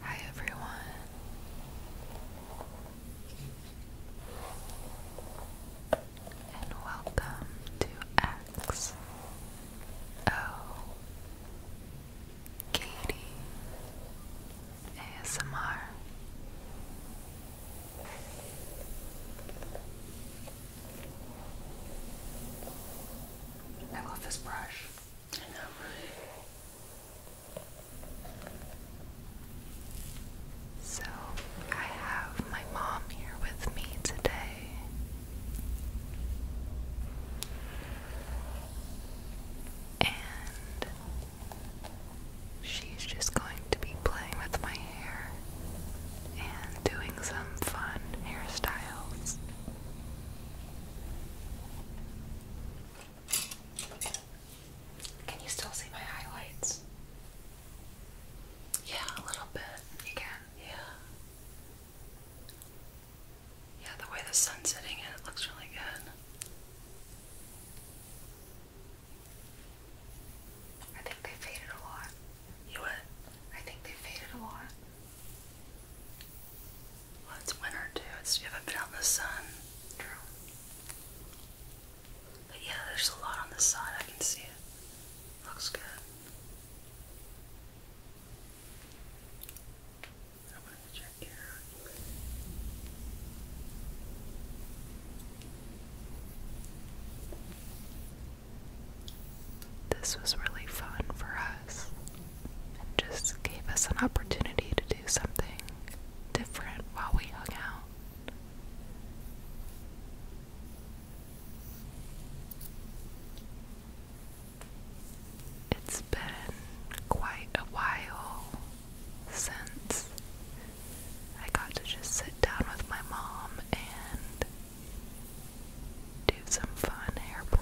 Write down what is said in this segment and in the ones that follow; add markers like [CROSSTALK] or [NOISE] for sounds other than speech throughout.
Hi everyone. And welcome to X O Katie ASMR. I love this brush. So, I have my mom here with me today. And she's just going to be playing with my and doing some fun hairstyles. Can you still see my highlights? Yeah, a little bit. You can? Yeah. Yeah, the way the sun's hitting it, it looks really good think they faded a lot. You what? I think they faded a lot. Well, it's winter too. It's, you haven't been out in the sun. True. But yeah, there's a lot on this side. I can see it. Looks good. I want to check your this was really fun for us and just gave us an opportunity to do something different while we hung out. It's been quite a while since I got to just sit down with my mom and do some fun hair play.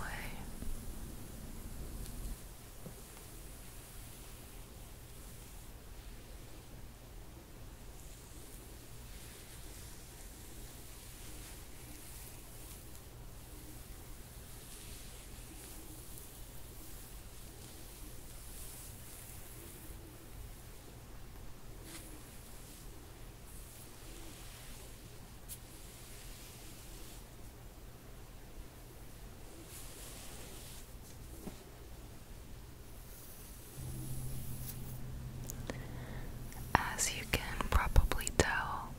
As you can probably tell,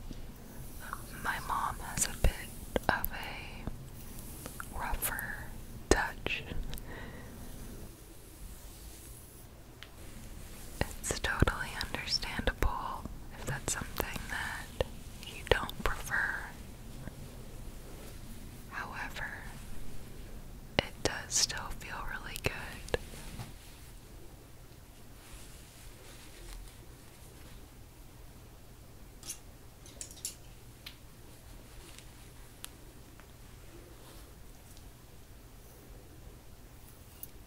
my mom has a bit of a rougher touch. It's totally understandable if that's something that you don't prefer. However, it does still feel really good.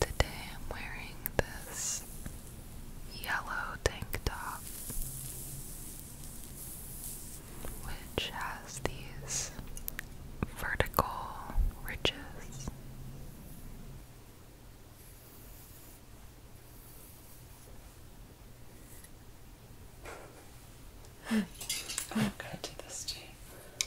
Today I'm wearing this yellow tank top, which has these vertical ridges. Hmm. I'm gonna do this too.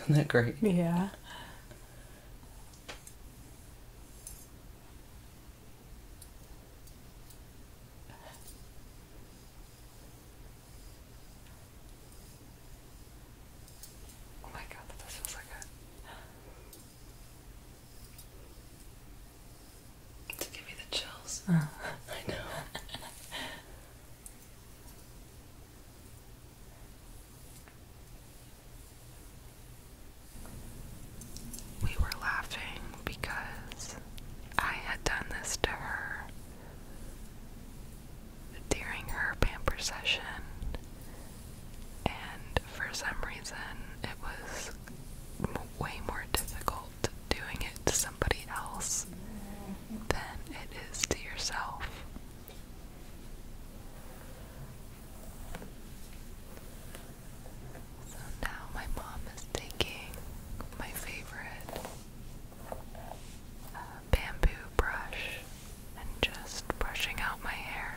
Isn't that great? Yeah. Oh my god, this feels so good. To give me the chills. Oh. [LAUGHS] I know. we were laughing because I had done this to her during her pamper session, and for some reason it was way more difficult doing it to somebody else than it is to yourself. So now my mom is taking my favorite uh, bamboo brush and just brushing out my hair.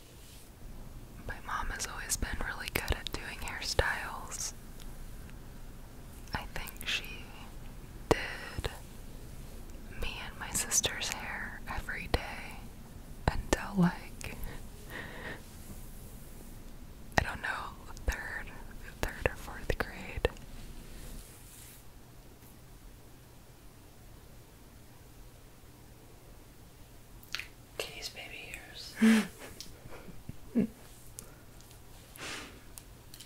My mom has always been really good at doing hairstyles. I think she did me and my sister's hair every day until, like, I don't know, third, third or fourth grade. Kitty's baby ears. [LAUGHS]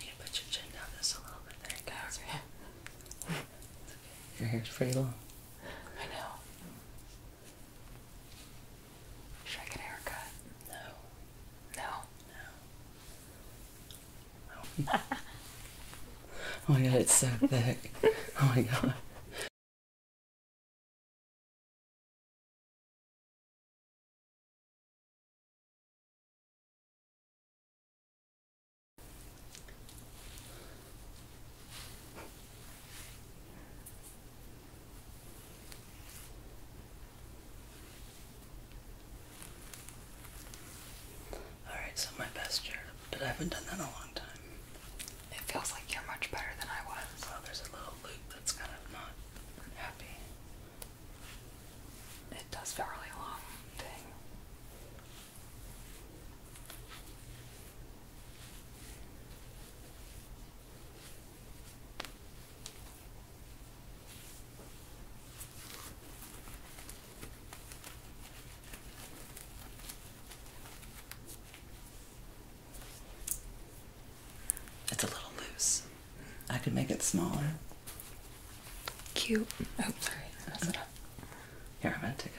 You put your chin down just a little bit. There you go. Your hair's pretty long. I know. Should I get a haircut? No. No. no. [LAUGHS] oh my god, it's so thick. Oh my god. Alright, so my best chair, but I haven't done that in a long time. It feels like you're much better than I was. Well, there's a little loop that's kind of not happy. It does feel really long thing. It's a little loose. I could make it smaller. Cute. Oh, sorry. Mess it up. Here, I'm to take it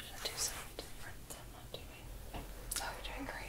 should do something different I'm doing? Oh, you're doing great.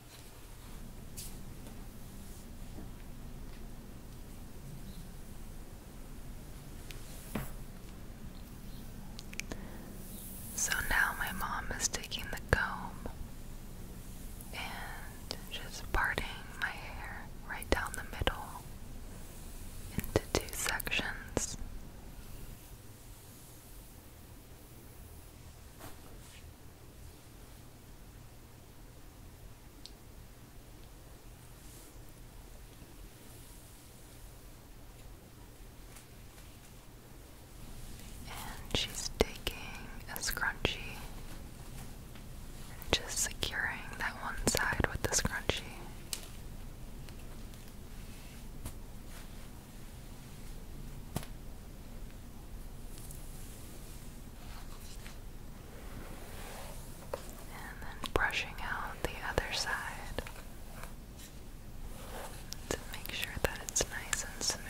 So now my mom is taking the comb and just parting my hair right down the middle into two sections. And she's taking a scrunchie and just securing that one side with the scrunchie. And then brushing out the other side to make sure that it's nice and smooth.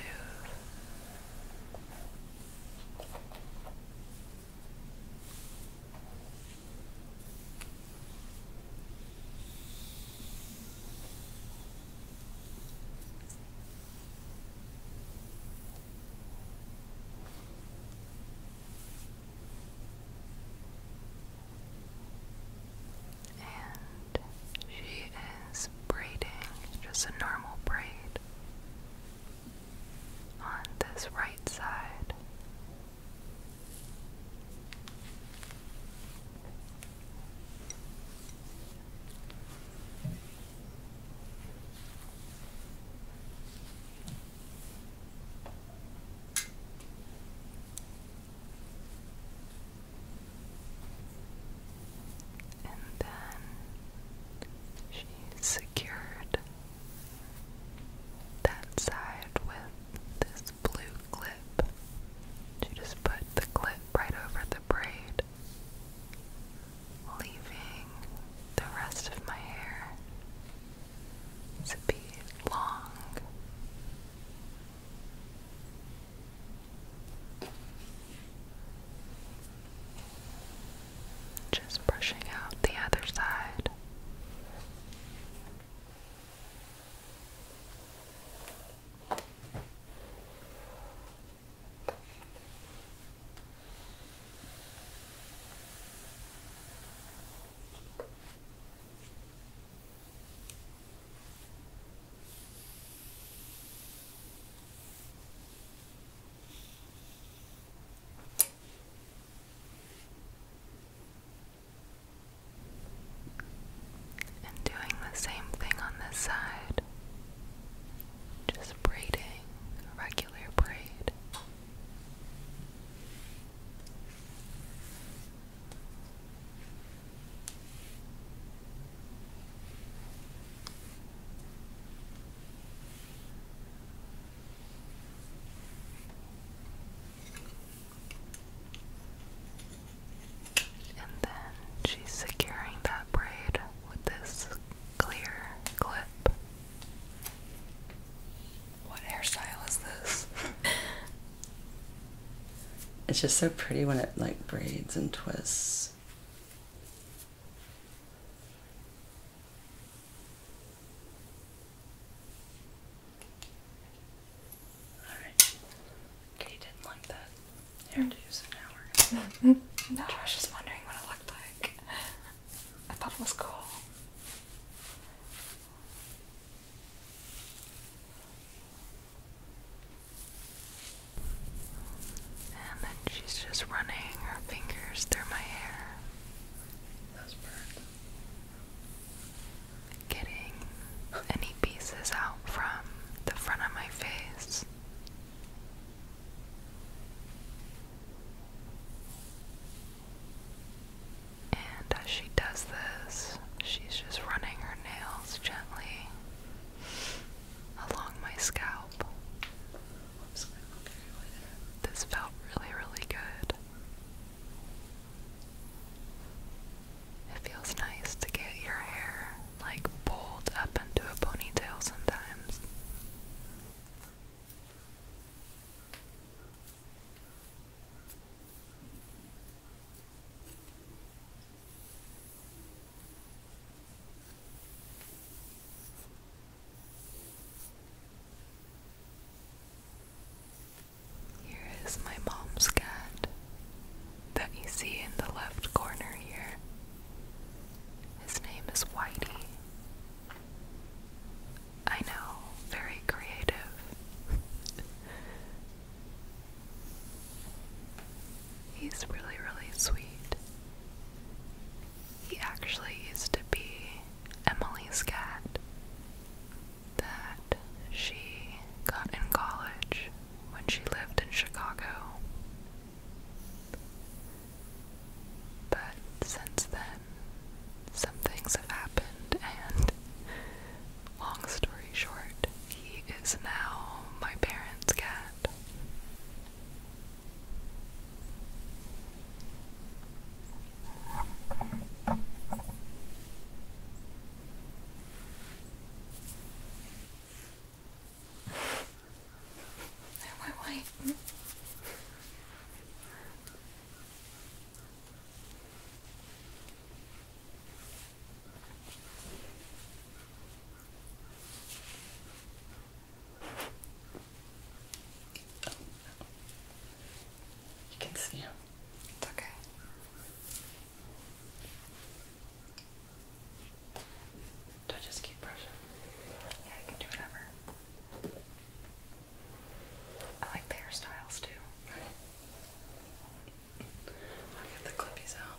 And she is braiding just a normal braid on this right side. And then she secured that side with this blue clip. She just put the clip right over the braid leaving the rest of my hair to be long. Just brushing out the other side. And doing the same thing on this side. Just braiding a regular braid. And then she's securing that braid with this clear clip. What hairstyle is this? [LAUGHS] it's just so pretty when it like braids and twists. All right. Katie didn't like that. Here to use an hour. no, I was just wondering what it looked like. I thought it was cool. And then she's just running her fingers through my hair. Those birds. Getting any pieces out from the front of my face. And as she does this, she's just running her nails gently along my scalp. this felt really, really good. It feels nice to get your hair like pulled up into a ponytail sometimes. Here is my mom's cat that you see in the left corner here. His name is Whitey. I know, very creative. [LAUGHS] He's really, really sweet. He actually used to be Emily's cat that she got in college when she lived in Chicago. But since then, some things have happened, and long story short, he is now my parents' cat. No, wait, wait. You can see him. It's okay. Do I just keep brushing? Yeah, you can do whatever. I like hairstyles too. I'll get the clippies out.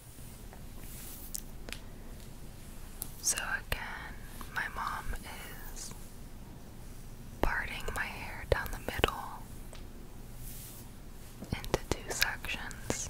So again, my mom is parting my hair down the middle into two sections.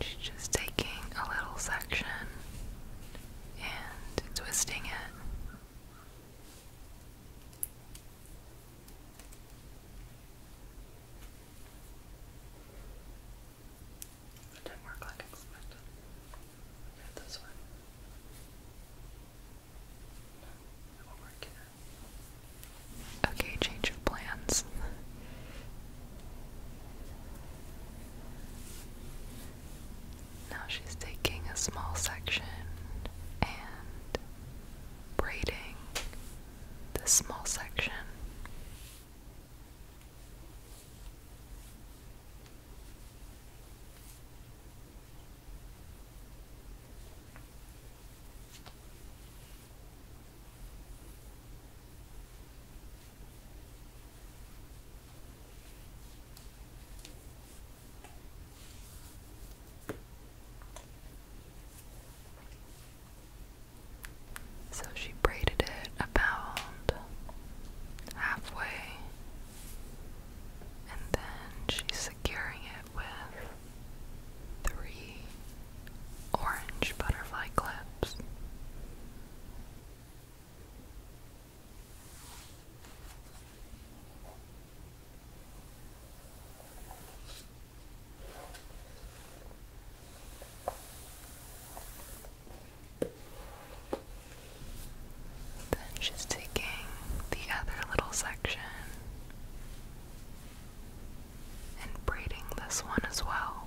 She's just taking a little section and twisting it. That didn't work like expected. Not this one. No, won't work either. Okay, change of plans. Now she's taking a small section and braiding this small section. So she braided it about halfway, and then she's securing it with three orange butterfly clips. Then she's taking the other little section and braiding this one as well.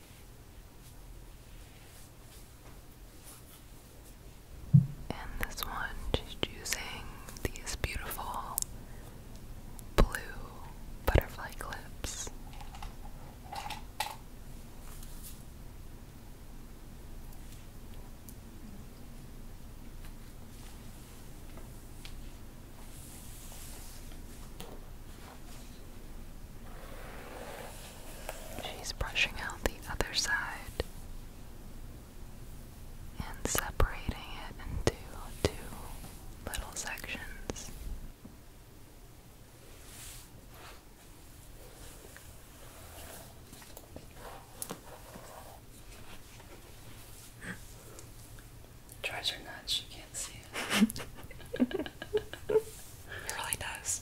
And this one, she's these beautiful blue butterfly clips. She's brushing out the other side and separating it into two little sections. Tries [LAUGHS] her nuts, she can't see it. [LAUGHS] it really does.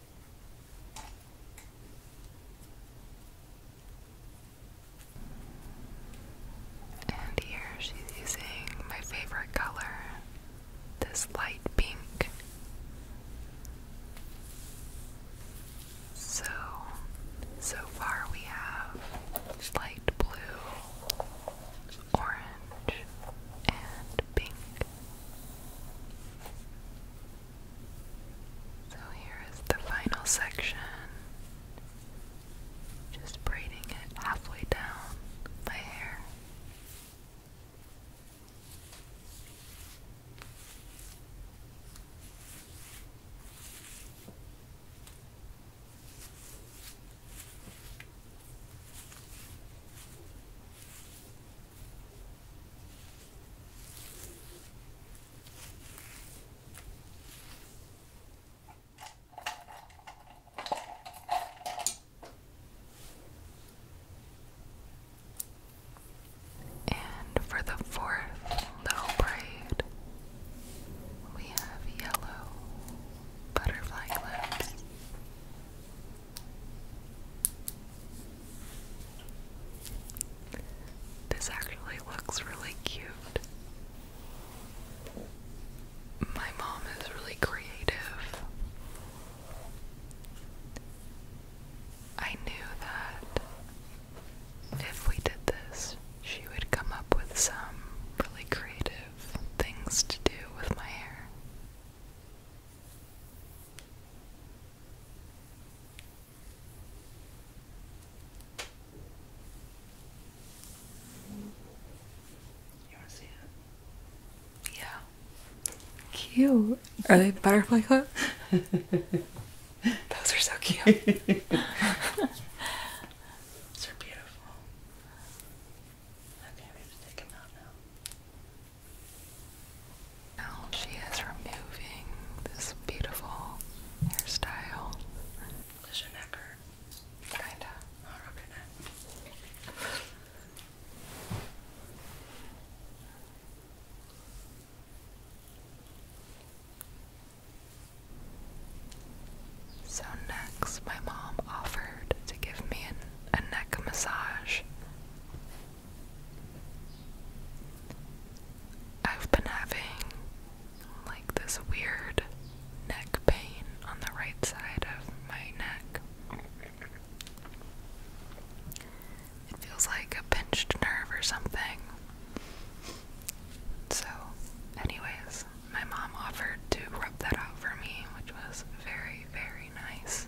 And here she's using my favorite color, this light pink. So, so far we have light blue, orange, and pink. So here is the final section. Just braiding it halfway down the hair. And for the fourth little braid, we have yellow butterfly clips. This actually looks really cute. My mom is really creative. I knew that if we did this, she would come up with some really creative things to do with my hair. Yeah. Cute. Are they butterfly clip? [LAUGHS] Those are so cute. [LAUGHS] Those are beautiful. Okay, we have to take them out now. Now she is removing this beautiful hairstyle. Oh, so next, my mom offered to give me a neck massage. I've been having like this weird neck pain on the right side of my neck. It feels like a pinched nerve or something. So, anyways, my mom offered to rub that out for me, which was very, very nice.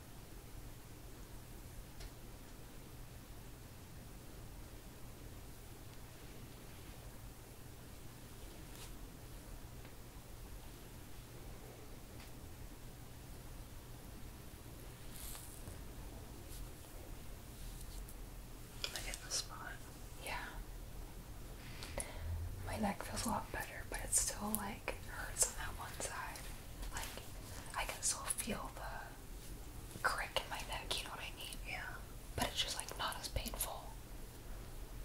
I getting the spot? Yeah. My neck feels a lot better, but it's still like hurts on that one side. Like I can still feel the crick in my neck, you know what I mean? Yeah. But it's just like not as painful.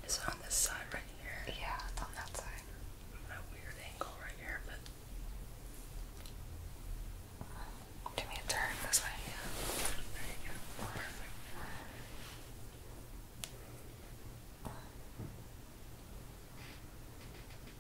Is it on this side right here? Yeah, it's on that side. My weird angle right here, but give me a turn this way. Yeah.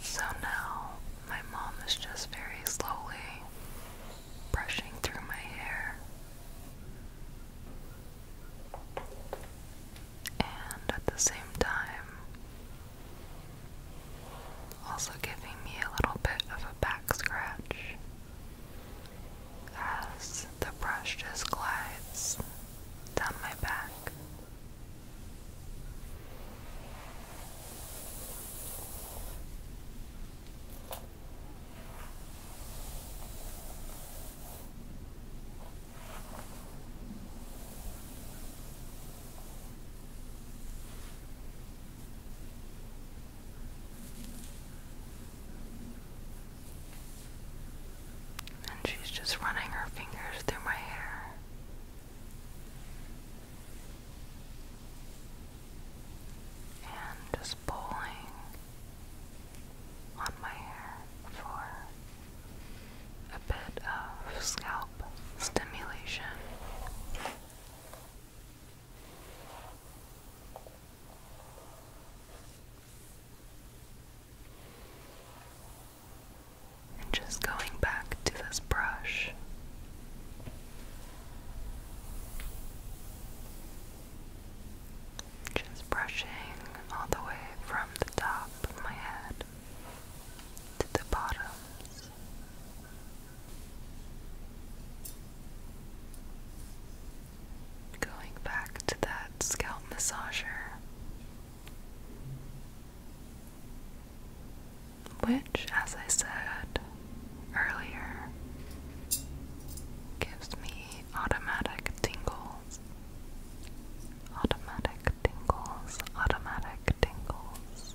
So now my mom is just very slowly brushing through my hair and at the same time also giving me a little bit of a back scratch as the brush just glides down my back. And she's just running her fingers through my hair. And just pulling on my hair for a bit of scalp stimulation. And just going back to this brush just brushing all the way from the top of my head to the bottoms. Going back to that scalp massager, which, as I said earlier, gives me automatic tingles tingles. Automatic tingles, automatic tingles. Tingles,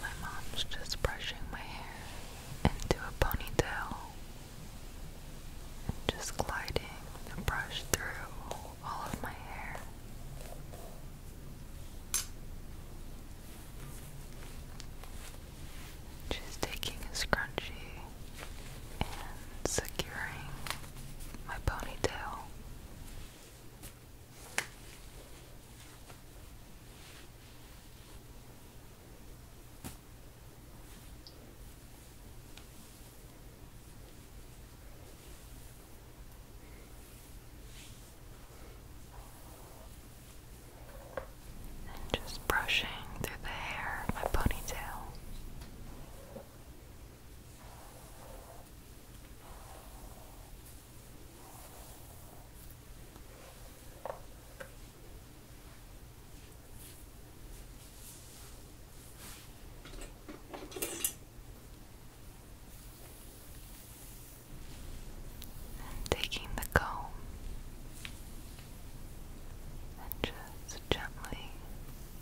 My mom's just brushing my hair into a ponytail just gliding the brush through all of my hair. Just taking a scrunchy and securing my ponytail just brushing through the hair of my ponytail. And taking the comb and just gently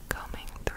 combing through.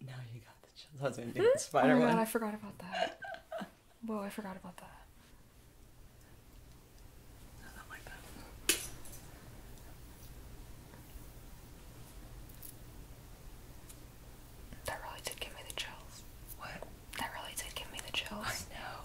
Now you got the chills. I was gonna do the spider oh one. I forgot about that. Whoa, I forgot about that. That really did give me the chills. What? That really did give me the chills. I know.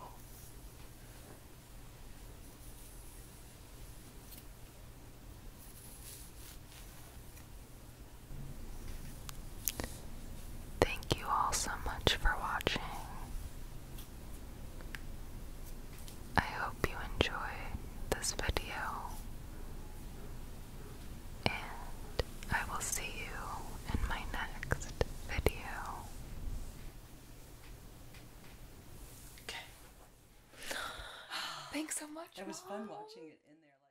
Thank you all so much for watching. I hope you enjoyed this video, and I will see you in my next video. Okay. Thanks so much. It was fun watching it in there.